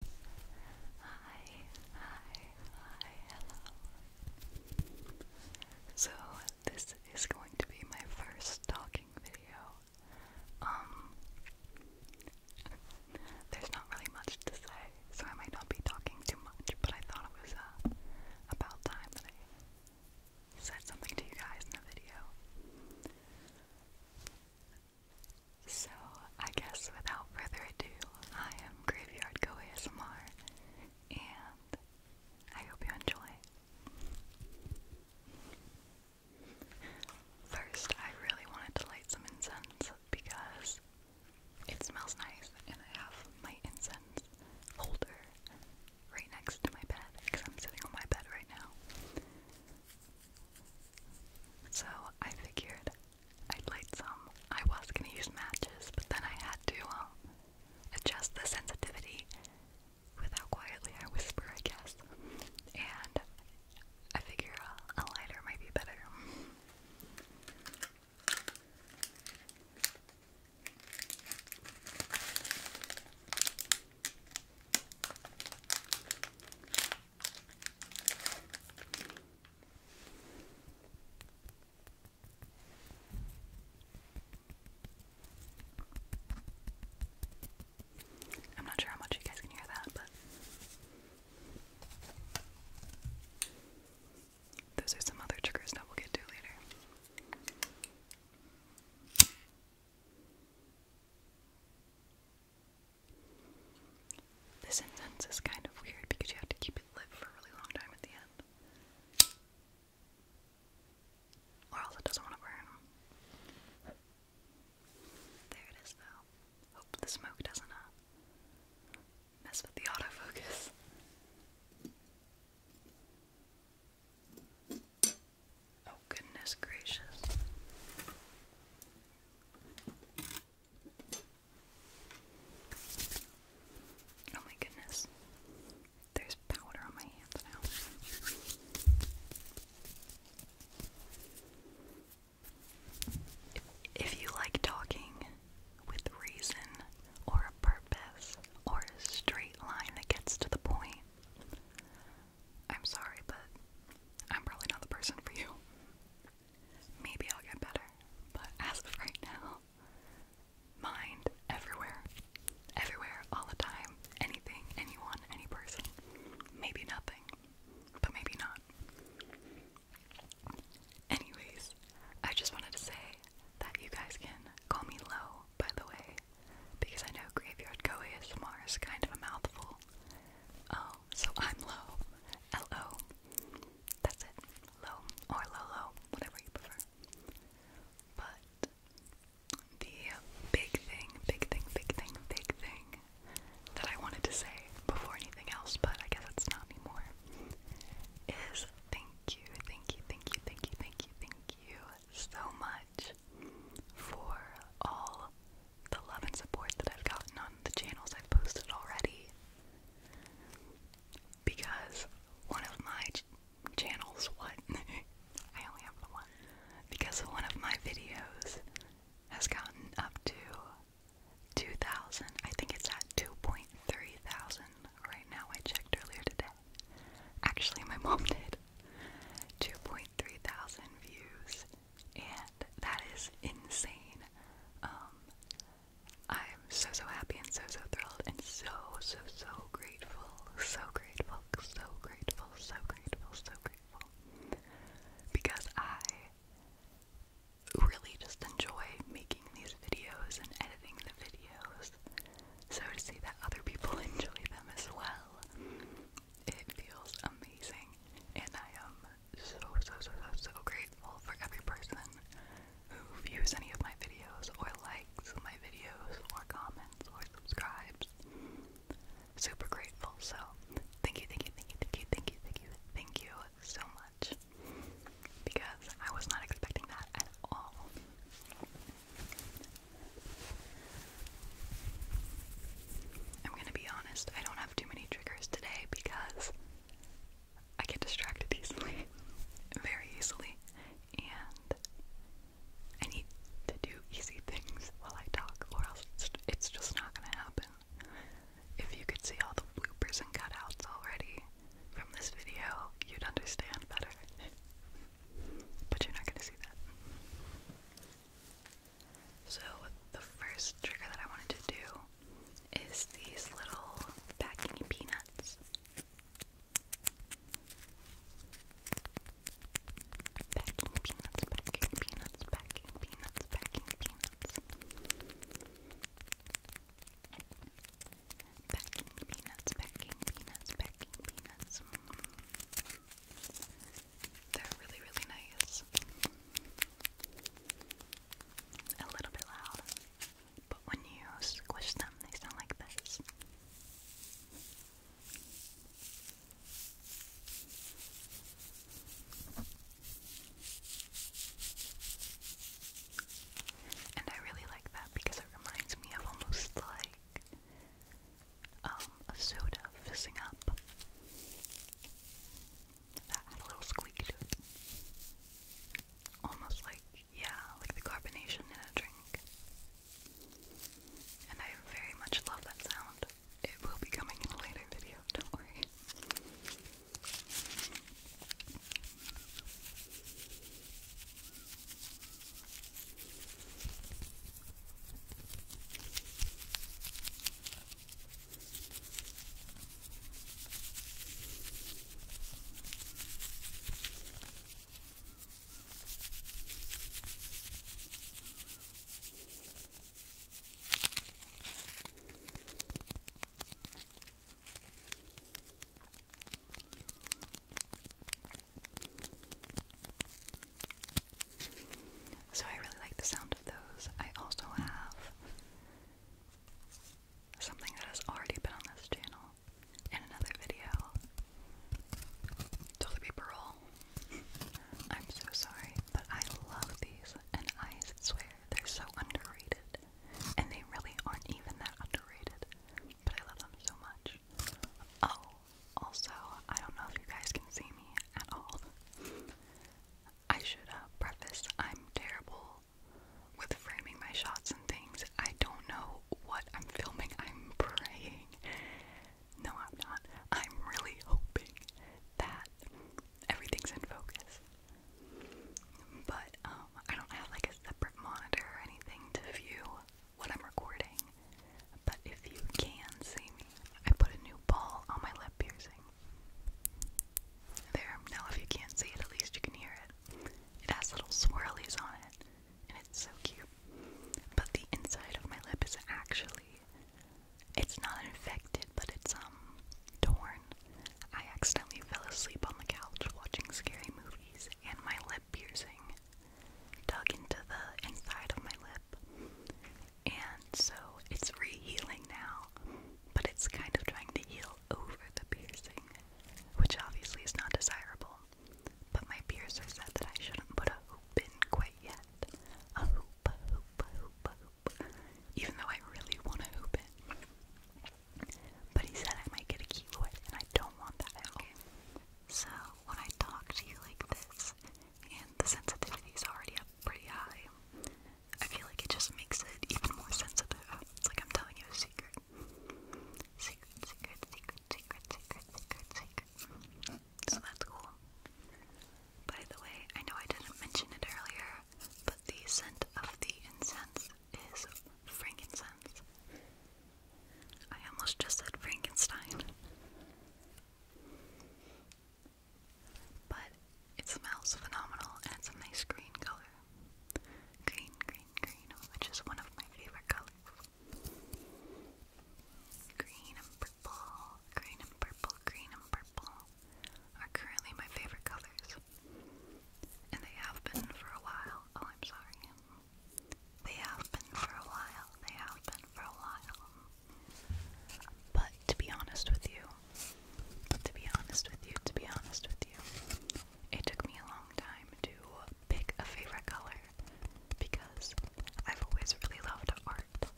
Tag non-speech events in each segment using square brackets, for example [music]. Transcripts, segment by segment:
Hi, hi, hi, hello. So this is going to be my first talking video. Um there's not really much to say, so I might not be talking too much, but I thought it was uh, about time that I said something to you guys in a video. So, I guess without further ado, I am Graveyard Go ASMR, and I hope you enjoy. First, I really wanted to light some incense because it smells nice, and I have my incense holder right next to my bed because I'm sitting on my bed right now. So, I figured I played some. I was gonna use matches, but then I had to um, adjust the sensitivity without quietly I whisper, I guess. And I figure a lighter might be better. I'm not sure how much you guys can hear that, but those are some other triggers that we'll get to later. This incense is kind of weird because you have to keep it lit for a really long time at the end. Or else it doesn't want to burn. There it is though. Hope the smoke doesn't mess with the autofocus. Oh goodness gracious. Oh my goodness. There's powder on my hands now. If, you like talking with reason or a purpose or a straight line that gets to the point, I'm sorry, but I'm probably not the person for you. Maybe I'll get better, but as of right now, mind everywhere. Everywhere, all the time. Anything, anyone, any person. Maybe nothing, but maybe not. Anyways, I just wanted to say that you guys can call me Low, by the way, because I know Graveyard Go ASMR is kind of a mouthful. Um, so I'm low. L O. That's it. Low or low whatever you prefer. But the big thing, big thing, big thing, big thing that I wanted to say before anything else, but I guess it's not anymore, is thank you, thank you, thank you, thank you, thank you, thank you so much for all the love and support that I've gotten on the channels I've posted already. Because one of my channels, what? [laughs] I only have one. Because one of my videos has gotten up to 2,000. I think it's at 2.3 thousand right now. I checked earlier today. Actually, my [laughs] mom did. 2.3 thousand views and that is insane. Um, I'm so so happy and so so thrilled and so so so grateful, so grateful, so grateful, so grateful, so grateful, because I really just enjoy making these videos and editing the videos. So to see that other people [laughs] enjoy them as well, it feels amazing, and I am um, so, so, so, so, so grateful for every person who views any of my videos, or likes my videos, or comments, or subscribes. Super grateful. So, thank you, thank you, thank you, thank you, thank you, thank you, thank you so much. Because I was not expecting that at all. I'm gonna be honest, I don't have too many triggers today because I get distracted easily, [laughs] very easily, and I need to do easy things while I talk, or else it's, just not gonna happen. If you could see all the bloopers and cutouts already from this video, you'd understand better. [laughs] but you're not gonna see that. So, the first trigger that I wanted to do is these little packing peanuts. Packing peanuts, packing peanuts, packing peanuts, packing peanuts. Packing peanuts, packing peanuts, packing peanuts. They're really, really nice a little bit loud, but when you squish them, they sound like this. And I really like that because it reminds me of almost like um, a soda fizzing up. That had a little squeak to it. Almost like, yeah, like the carbonation in a drink. And I very much love that sound. It will be coming in a later video, don't worry. So I really like the sound of those. I also have Something that has already been on this channel in another video. Toilet paper I'm so sorry, but I love these, and I swear they're so underrated. And they really aren't even that underrated, but I love them so much. Oh, also, I don't know if you guys can see me at all. I should uh, preface I'm terrible with framing my shots and things. I don't know what I'm filming. I'm praying. No, I'm not. I'm really hoping that everything's in focus. But um, I don't have like a separate monitor or anything to view what I'm recording. But if you can see me, I put a new ball on my lip piercing. There, now if you can't see it, at least you can hear it. It has little swirlies on it, and it's so cute. But the inside of my lip is actually, it's not infected, but it's, um, torn. I accidentally fell asleep on the couch watching scary movies, and my lip piercing dug into the inside of my lip, and so it's re-healing now, but it's kind of trying to heal over the piercing, which obviously is not desirable. But my piercer said that I shouldn't put a hoop in quite yet. A hoop, a hoop, a hoop, a hoop. Even though I really want to hoop it. But he said I might get a keloid, and I don't want that out. Okay. So when I talk to you like this, and the sensitivity is already up pretty high, I feel like it just makes it even more sensitive. It's like I'm telling you a secret. Secret, secret, secret, secret, secret, secret, secret. So that's cool. By the way, I know I didn't mention it earlier, but the scent of the incense is frankincense. I almost just said Frankenstein. But it smells phenomenal and it's a nice green color. Green, green, green, which is one of my favorite colors. Green and purple, green and purple, green and purple are currently my favorite colors. And they have been for a while. Oh, I'm sorry. They have been for a while. They have been for a while. But to be honest with you, to be honest with you, to be honest with you. It took me a long time to pick a favorite color because I've always really loved art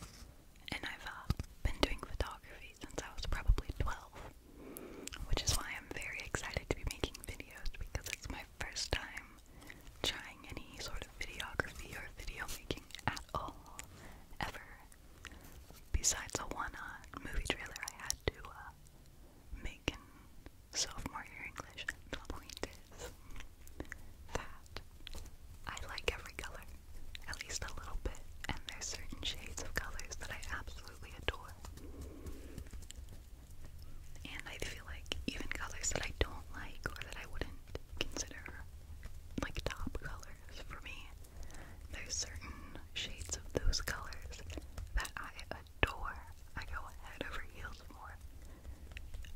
and I've uh, been doing photography since I was probably 12, which is why I'm very excited to be making videos because it's my first time trying any sort of videography or video making at all ever. Besides the one uh, movie trailer, I had to uh, make in sophomore year English. that I like every color, at least a little bit, and there's certain shades of colors that I absolutely adore. And I feel like even colors that I don't like or that I wouldn't consider like top colors for me, there's certain shades of those colors that I adore. I go head over heels for.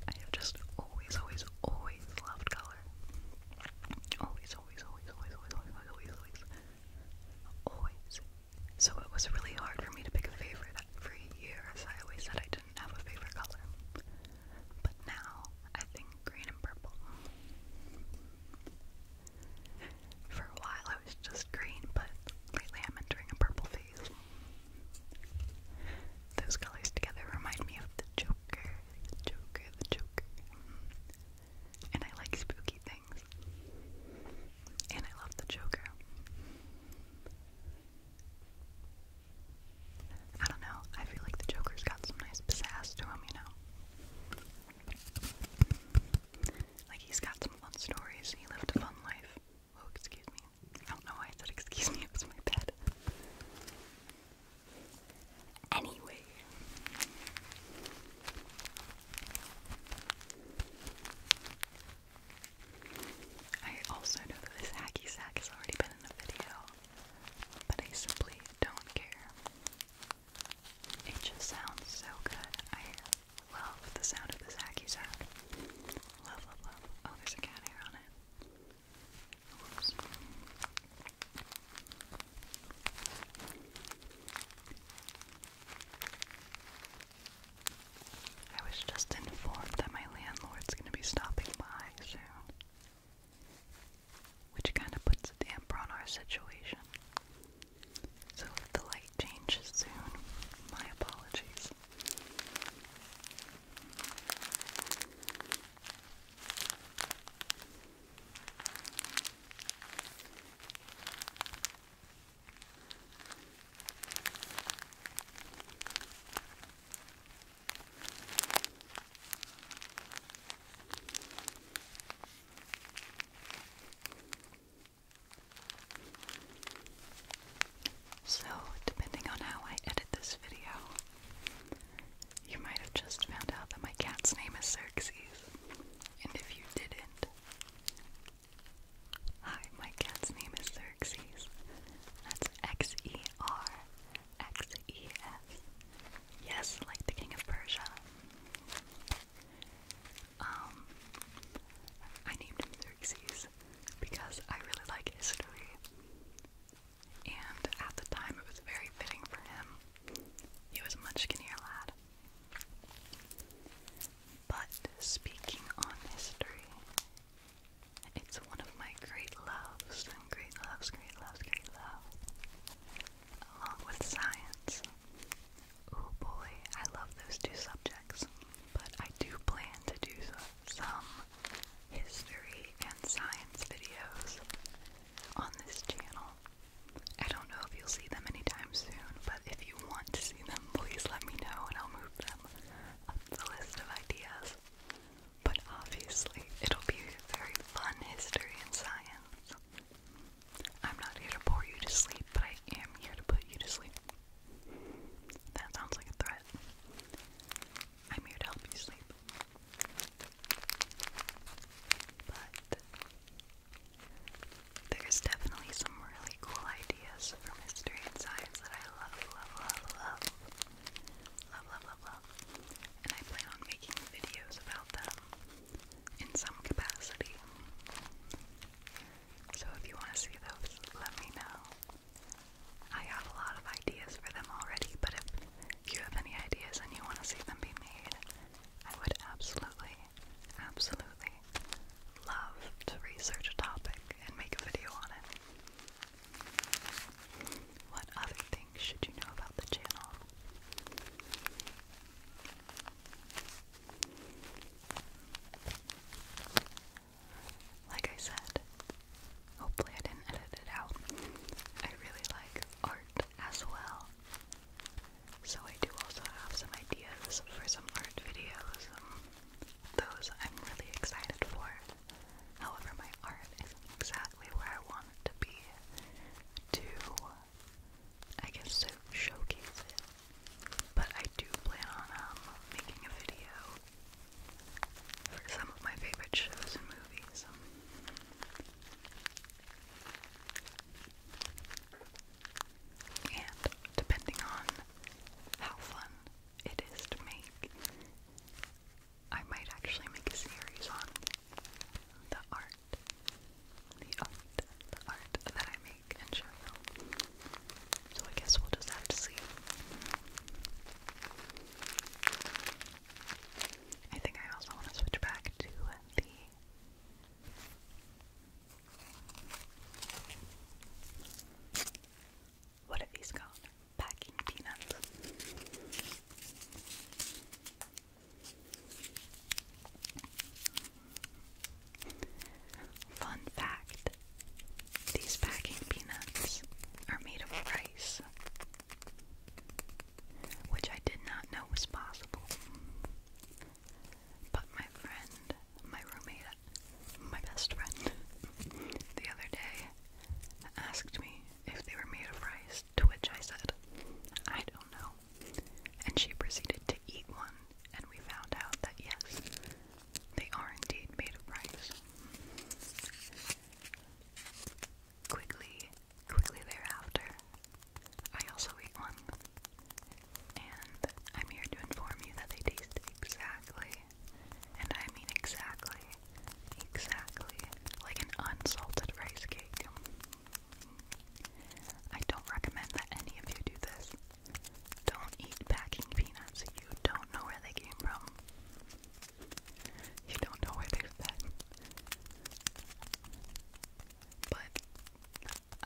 I have just always, always, always loved color. Always, always, always, always, always, always, always, always, always. So it was really hard for me to pick a favorite. For years, I always said I didn't have a favorite color. But now, I think green and purple. For a while I was just green, but lately I'm entering a purple phase. Those colors together remind me of the Joker, the Joker, the Joker. And I like spooky things. And I love the Joker. I don't know, I feel like the Joker's got some nice pizzazz to him, you know? Like, he's got some fun stories. He lived a fun life. Oh, excuse me. I don't know why I said excuse me. [laughs] It was my bad. Anyway. I also know that this hacky sack has already been in a video, but I simply don't care. It just sounds so good. I love the sound of this hacky sack. Love, love, love. Oh, there's a cat hair on it. I was just informed that my landlord's going to be stopping by soon which kind of puts a damper on our situation. So if the light changes soon, my apologies. So, depending on how I edit this video, you might have just found out that my cat's name is Xerxes. And if you didn't, hi, my cat's name is Xerxes. That's X E R X E S. Yes, like the King of Persia. Um, I named him Xerxes because I really like history, and at the time it was very fitting for him. He was a much skinnier lad. But speaking on history, it's one of my great loves, and great loves, great loves, great loves, along with science. Oh boy, I love those two subjects, but I do plan to do some history and science videos on this channel. I don't know if you'll see them anytime soon, but if you want to see them, please let me know and I'll move them up the list of ideas. But obviously, it'll be very fun history and science. I'm not here to bore you to sleep, but I am here to put you to sleep. That sounds like a threat. I'm here to help you sleep. But there's definitely some really cool ideas for mystery and science that I love, love, love. Love, love, love, love. And I plan on making videos about them in some capacity. So if you want to see those, let me know. I have a lot of ideas for them already, but if you have any ideas and you want to see them be made, I would absolutely, absolutely love to research a topic and make a video on it. What other things should you know about the channel? Like I said, hopefully I didn't edit it out. I really like art as well. So I do also have some ideas for some art videos. Um, those I'm really excited for. However, my art isn't exactly where I want it to be to I guess, to showcase it. But I do plan on um, making a video for some of my favorite shows and movies. And depending on how fun it is to make, I might actually make a series on the art, the art, the art that I make and show So I guess we'll just have to see. I think I also want to switch back to the what are these called? Packing peanuts. Fun fact these packing peanuts are made of rice, which I did not know was possible. But my friend, my roommate, my best friend, [laughs] the other day asked me if they were made of rice, to which I said, I don't know and she proceeded to eat one, and we found out that yes, they are indeed made of rice. Quickly, quickly thereafter, I also ate one, and I'm here to inform you that they taste exactly, and I mean exactly, exactly like an unsalted rice cake. I don't recommend that any of you do this. Don't eat packing peanuts. You don't know where they came from. You don't know where they've But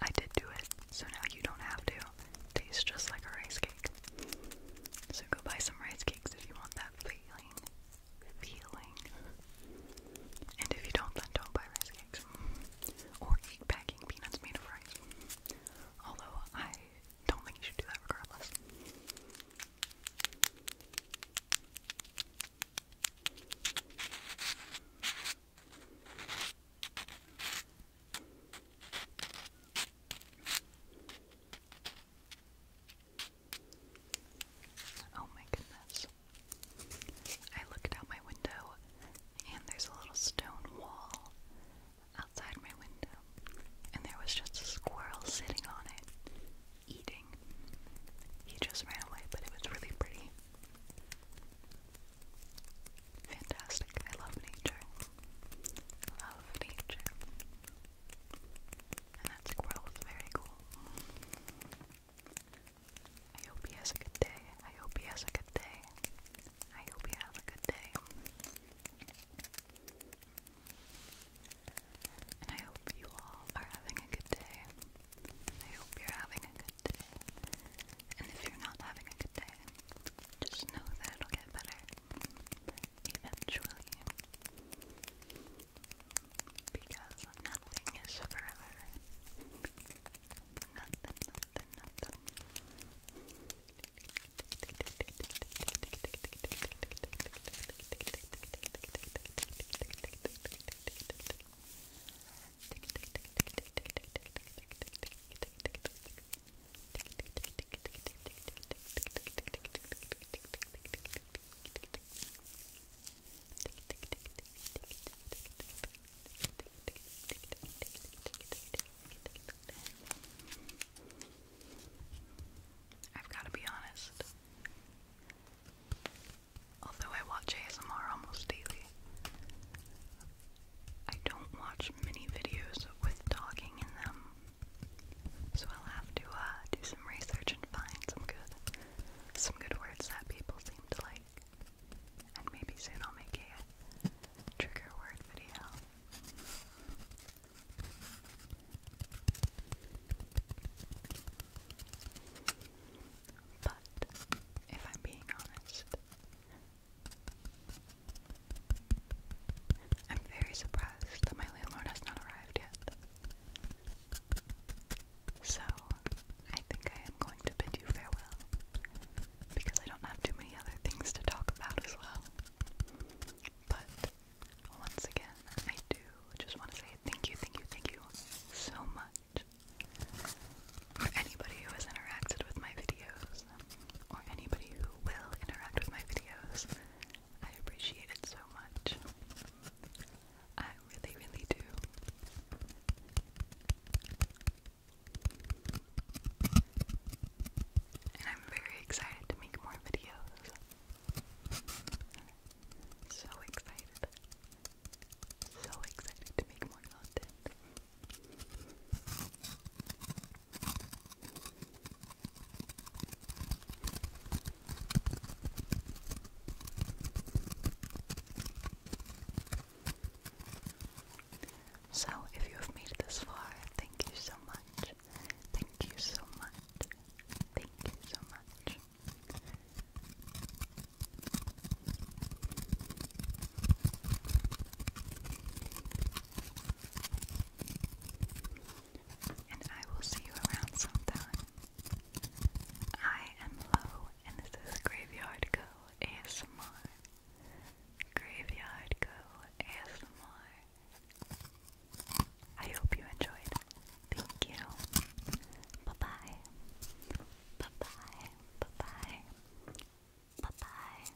I did do it, so now you don't have to. tastes just like a rice cake. So go buy some rice cakes if you want that feeling. Feeling. And if you don't, then don't buy rice cakes. Or eat packing peanuts made of rice. Although, I don't think you should do that regardless. Oh my goodness. I looked out my window, and there's a little stone wall outside my window, and there was just a squirrel sitting on it, eating. He just ran away, but it was really pretty. Fantastic. I love nature. Love nature. And that squirrel was very cool. I hope he has a good day. I hope he has a good day. I hope you have a good day. And I hope you all are having a good day. I hope you're having a good day. And if you're not having a good day, just know that it'll get better eventually because nothing is forever. [laughs] I've got to be honest. Although I watch ASMR almost daily, I don't watch many videos with talking in them. So I'll have to uh, do some research and find some good, some good words that people seem to like. And maybe soon I'll make a trigger word video. But if I'm being honest, I'm very surprised that my landlord has not arrived yet. So, I think I am going to bid you farewell because I don't have too many other things to talk about as well. But once again, I do just want to say thank you, thank you, thank you so much for anybody who has interacted with my videos or anybody who will interact with my videos. I appreciate it so much. I really, really do. And I'm very excited to make more videos. So excited. So excited to make more content. So, if you have made it this far, thank you so much. Thank you so much. Thank you so much. And I will see you around sometime. I am Lo, and this is Graveyard Go ASMR. Graveyard Go ASMR. I hope you enjoyed. Thank you. Bye bye. Bye bye. Bye bye. Bye bye.